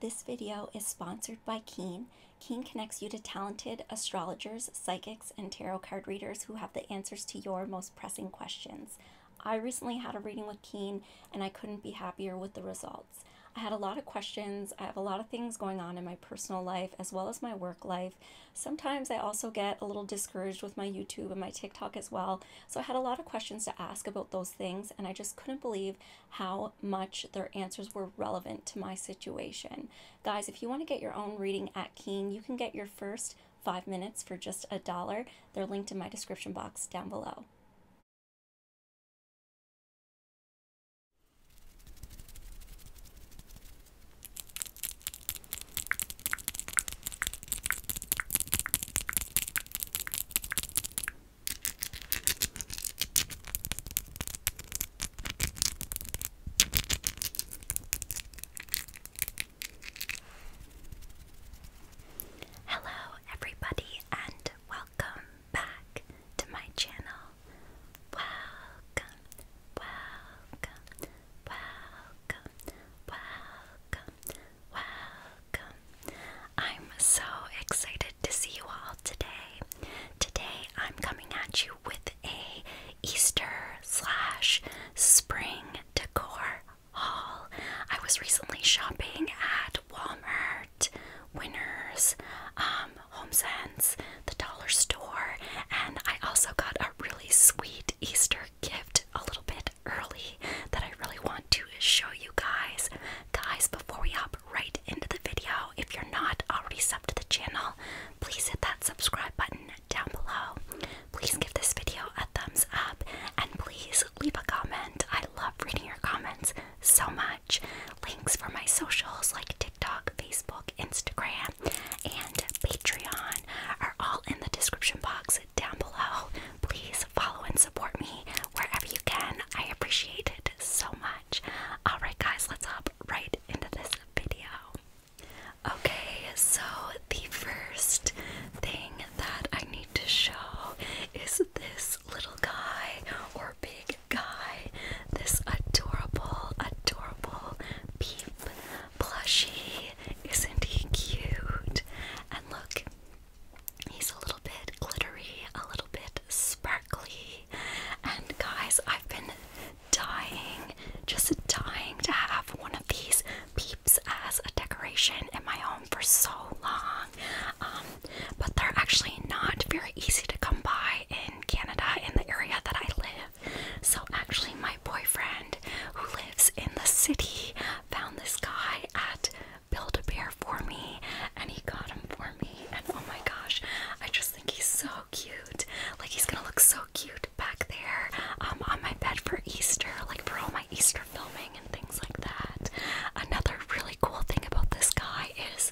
This video is sponsored by Keen. Keen connects you to talented astrologers, psychics, and tarot card readers who have the answers to your most pressing questions. I recently had a reading with Keen and I couldn't be happier with the results. I had a lot of questions, I have a lot of things going on in my personal life as well as my work life. Sometimes I also get a little discouraged with my YouTube and my TikTok as well. So I had a lot of questions to ask about those things, and I just couldn't believe how much their answers were relevant to my situation. Guys, if you want to get your own reading at Keen, you can get your first five minutes for just a dollar. They're linked in my description box down below. Hello, everybody, and welcome back to my channel welcome, welcome, welcome, welcome, welcome. I'm so excited to see you all today. Today I'm coming at you with a Easter slash spring decor haul. I was recently shopping at Walmart, Winners, um, HomeSense, the dollar store, and I also got a really sweet Easter gift a little bit early that I really want to show you guys. Guys, before we hop right into the video, if you're not already subbed to the channel, please hit that subscribe button down below. Please give this video a thumbs up and please leave a comment. I love reading your comments so much. Links for my socials like TikTok, Facebook, Instagram, and Patreon are all in the description box down below. Please follow and support me wherever you can. I appreciate it so much. Alright, guys, let's hop right into this video. Okay, so the first thing that I need to show is this little guy or big guy this adorable, adorable peep plushie. Isn't he cute? And look, he's a little bit glittery, a little bit sparkly. And guys, I've been dying, just dying to have one of these peeps as a decoration in my home for so long. Um, but they're actually not very easy to come by in Canada in the area that I live. So, actually, my boyfriend who lives in the city found this guy at Build a Bear for me and he got him for me. And oh my gosh, I just think he's so cute. Like, he's gonna look so cute back there um, on my bed for Easter, like for all my Easter filming and things like that. Another really cool thing about this guy is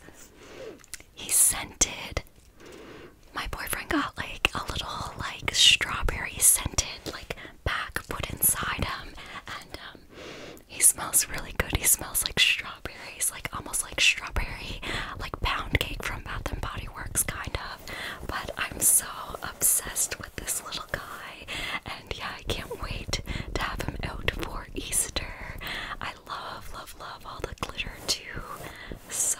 He's scented. My boyfriend got like a little like strawberry scented like bag put inside him and um he smells really good. He smells like strawberries, like almost like strawberry like pound cake from Bath and Body Works kind of. But I'm so obsessed with this little guy and yeah, I can't wait to have him out for Easter. I love, love, love all the glitter too. So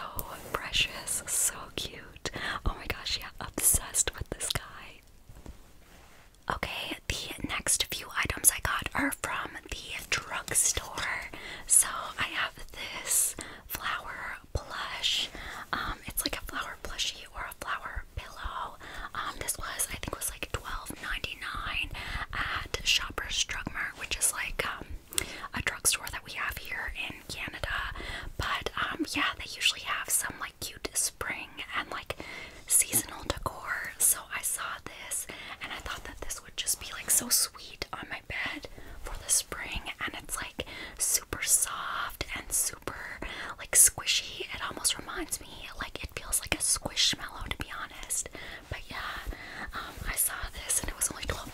precious, so cute. Oh my gosh, yeah, obsessed with this guy. Okay, the next few items I got are from the drugstore. So I have this flower plush. Um, it's like a flower plushie or a flower pillow. Um, this was I think was like $12.99 at Shoppers Drug Mart, which is like um, a drug store that we have here in Canada. But um, yeah, they usually have some like cute spring and like seasonal decor. So I saw this and I thought that this would just be like so sweet on my bed for the spring, and it's like super soft and super like squishy. It almost reminds me like it feels like a squish to be honest. But yeah, um, I saw this and it was only $12.99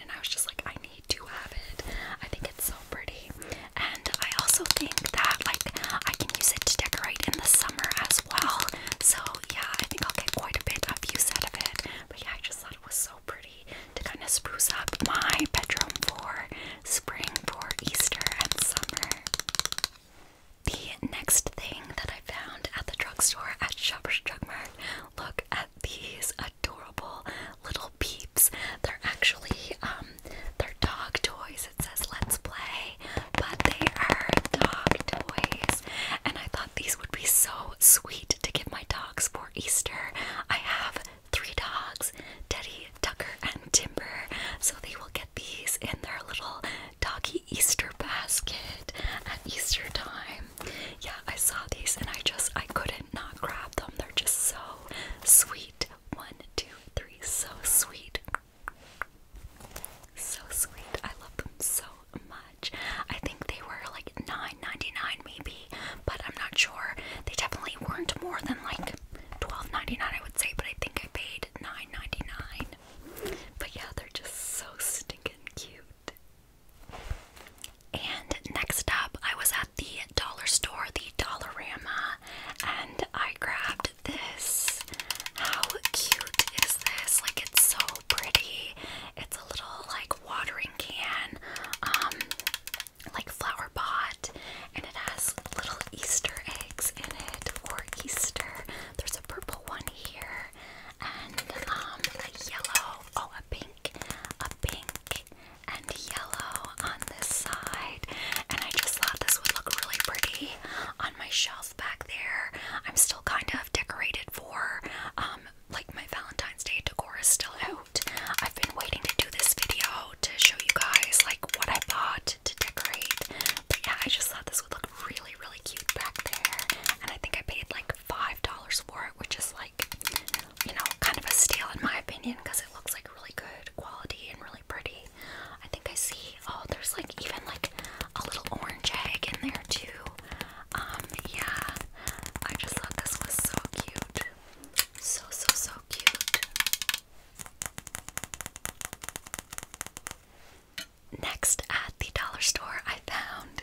and I was just like, I need to have it. I think it's so pretty. And I also think that like I can use it to decorate in the summer as well. So yeah, I think I'll get quite a bit of use out of it. But yeah, I just thought it was so pretty to kind of spruce up my bedroom for spring, for Easter, and summer. The next thing that I found at the drugstore at Shoppers Drug Mart, look at these adorable little peeps. They're actually um they're dog toys. It says let's play, but they are dog toys. And I thought these would be so sweet to give my dogs for Easter. I have three dogs, Teddy, Tucker and Timber. So they will get these in their little doggy Easter basket at Easter time. Yeah, I saw these and I just I couldn't not grab them. They're just so sweet. One, two, three, so sweet. So sweet. I love them so much. I think they were like $9.99 maybe, but I'm not sure. They definitely weren't more than like Twelve ninety nine, I would say, but I think I paid nine ninety nine. But yeah, they're just so stinking cute. And next up, I was at the dollar store, the Dollarama, and I grabbed this. How cute is this? Like, it's so pretty. It's a little like watering can, um, like flower pot, and it has little Easter eggs in it for Easter. There's a purple one here, and um, a yellow, oh, a pink, a pink, and yellow on this side. And I just thought this would look really pretty on my shelf back there. I'm still kind of decorated for, um, like my Valentine's Day decor is still out. I've been waiting to do this video to show you guys like what I bought to decorate. But yeah, I just thought this would look really, really cute back there. And I think I paid like $5 for it, which is like, you know, kind of a steal in my opinion because it looks like really good quality and really pretty. I think I see, oh, there's like even like a little orange egg in there too. Um, yeah, I just thought this was so cute. So, so, so cute. Next, at the dollar store, I found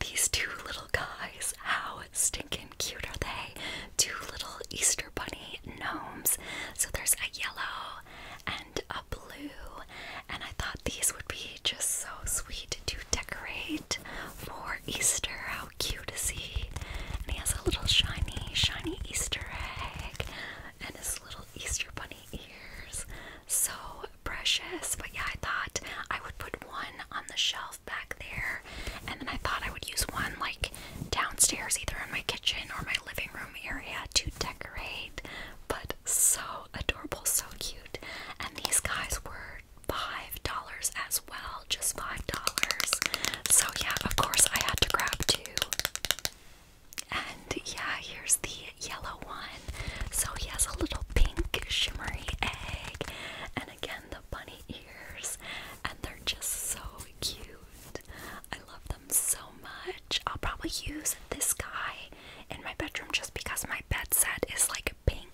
these two little guys. How stinking cute are they? Two little Easter bunny gnomes. So there's a yellow and a blue, and I thought these would be just so sweet to decorate for Easter how cute to see, And he has a little shiny, shiny Easter egg and his little Easter bunny ears. So precious. But yeah, I thought I would put one on the shelf back there, and then I thought I would use one like downstairs, either in my kitchen or my living room area to decorate. But so adorable, so cute. And these guys were $5 at well, just five dollars. So yeah, of course I had to grab two. And yeah, here's the yellow one. So he has a little pink shimmery egg, and again the bunny ears, and they're just so cute. I love them so much. I'll probably use this guy in my bedroom just because my bed set is like pink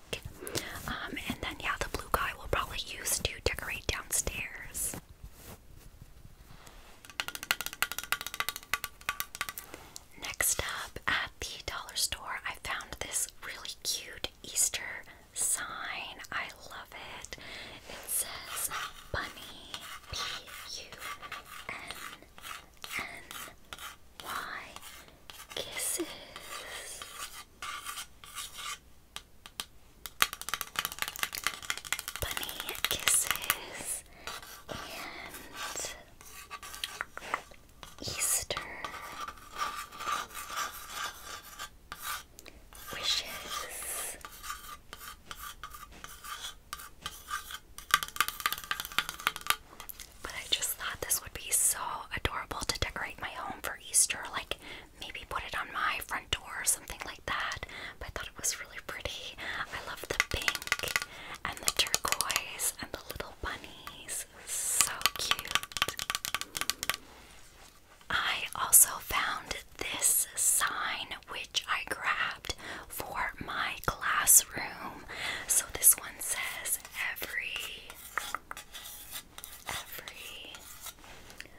um, and then, yeah, the blue guy will probably use to decorate downstairs. Next up, at the dollar store, I found this really cute Easter sign. I love it. It says Bunny, B U N N Y, kisses bunny kisses and Easter wishes. But I just thought this would be so adorable to decorate my home for Easter, like maybe put it on my front door or something like that. But I thought it was really pretty. I love the pink and the turquoise and the little bunnies. So cute. I also found this sign which I grabbed for my classroom. So this one says every every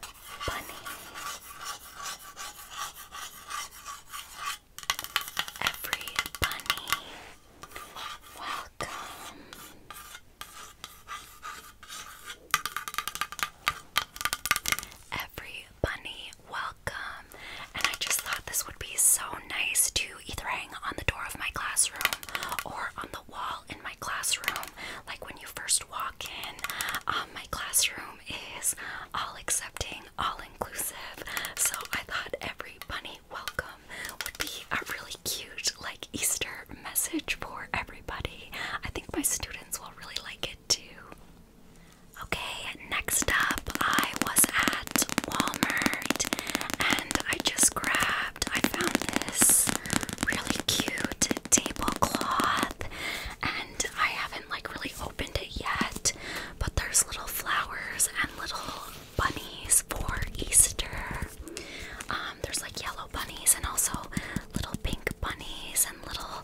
bunny, every bunny, welcome. Every bunny, welcome. And I just thought this would be so nice to either hang on the door of my classroom or on wall in my classroom. Like when you first walk in, um, my classroom is all accepting, all inclusive. So I thought every bunny welcome would be a really cute, like, Easter message for everybody. I think my students will really like it too. Okay, next up, I was at Walmart and I just grabbed I found this really cute tablecloth, and I haven't like really opened it yet. But there's little flowers and little bunnies for Easter. Um, there's like yellow bunnies and also little pink bunnies and little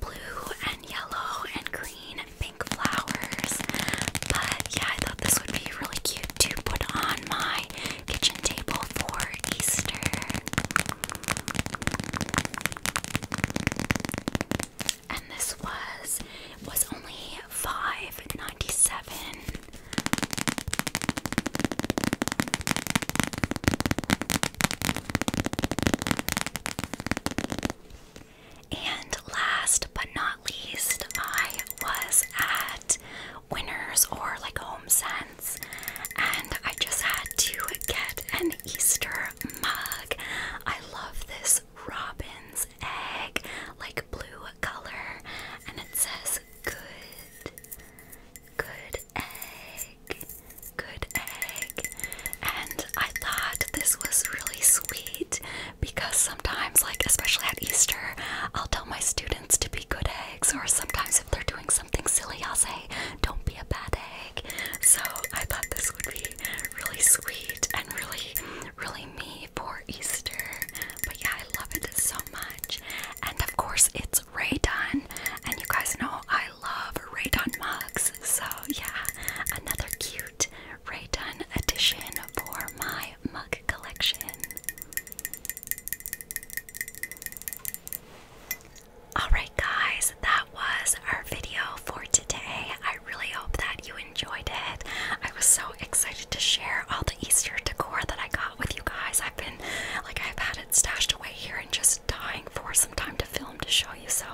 blue and yellow and green and pink flowers. But yeah, I thought this would be really cute to put on my kitchen table for Easter. And this was was only five ninety seven. And last but not least, I was at Winners or like Home Sense, and I just had to get an Easter mug. I love this robin's egg, like blue color, and it says good, good egg, good egg. And I thought this was really sweet because sometimes, like especially at Easter, I'll tell my students to be good eggs, or sometimes if they're doing something silly, I'll say, Don't be a bad egg. So I thought this would be really sweet and really, really me for Easter. But yeah, I love it so much. And of course, it's Raydon, and you guys know I love Raydon mugs, so yeah, another cute Rayton edition for my mug collection. Alright, guys, that was our video for today. I really hope that you enjoyed it. I was so excited to share all the Easter decor that I got with you guys. I've been like, I've had it stashed away here and just dying for some time to film to show you. So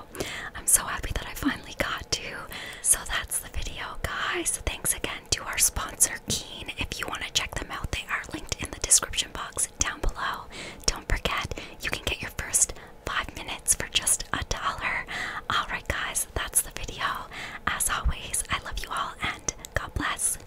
I'm so happy that I finally got to. So that's the video, guys. Thanks again to our sponsor, Keen. If you want to check them out, they are linked in the description box down below. Don't forget, you can get your first five minutes for just a dollar. Alright, guys, that's the video. As always, I love you all and God bless.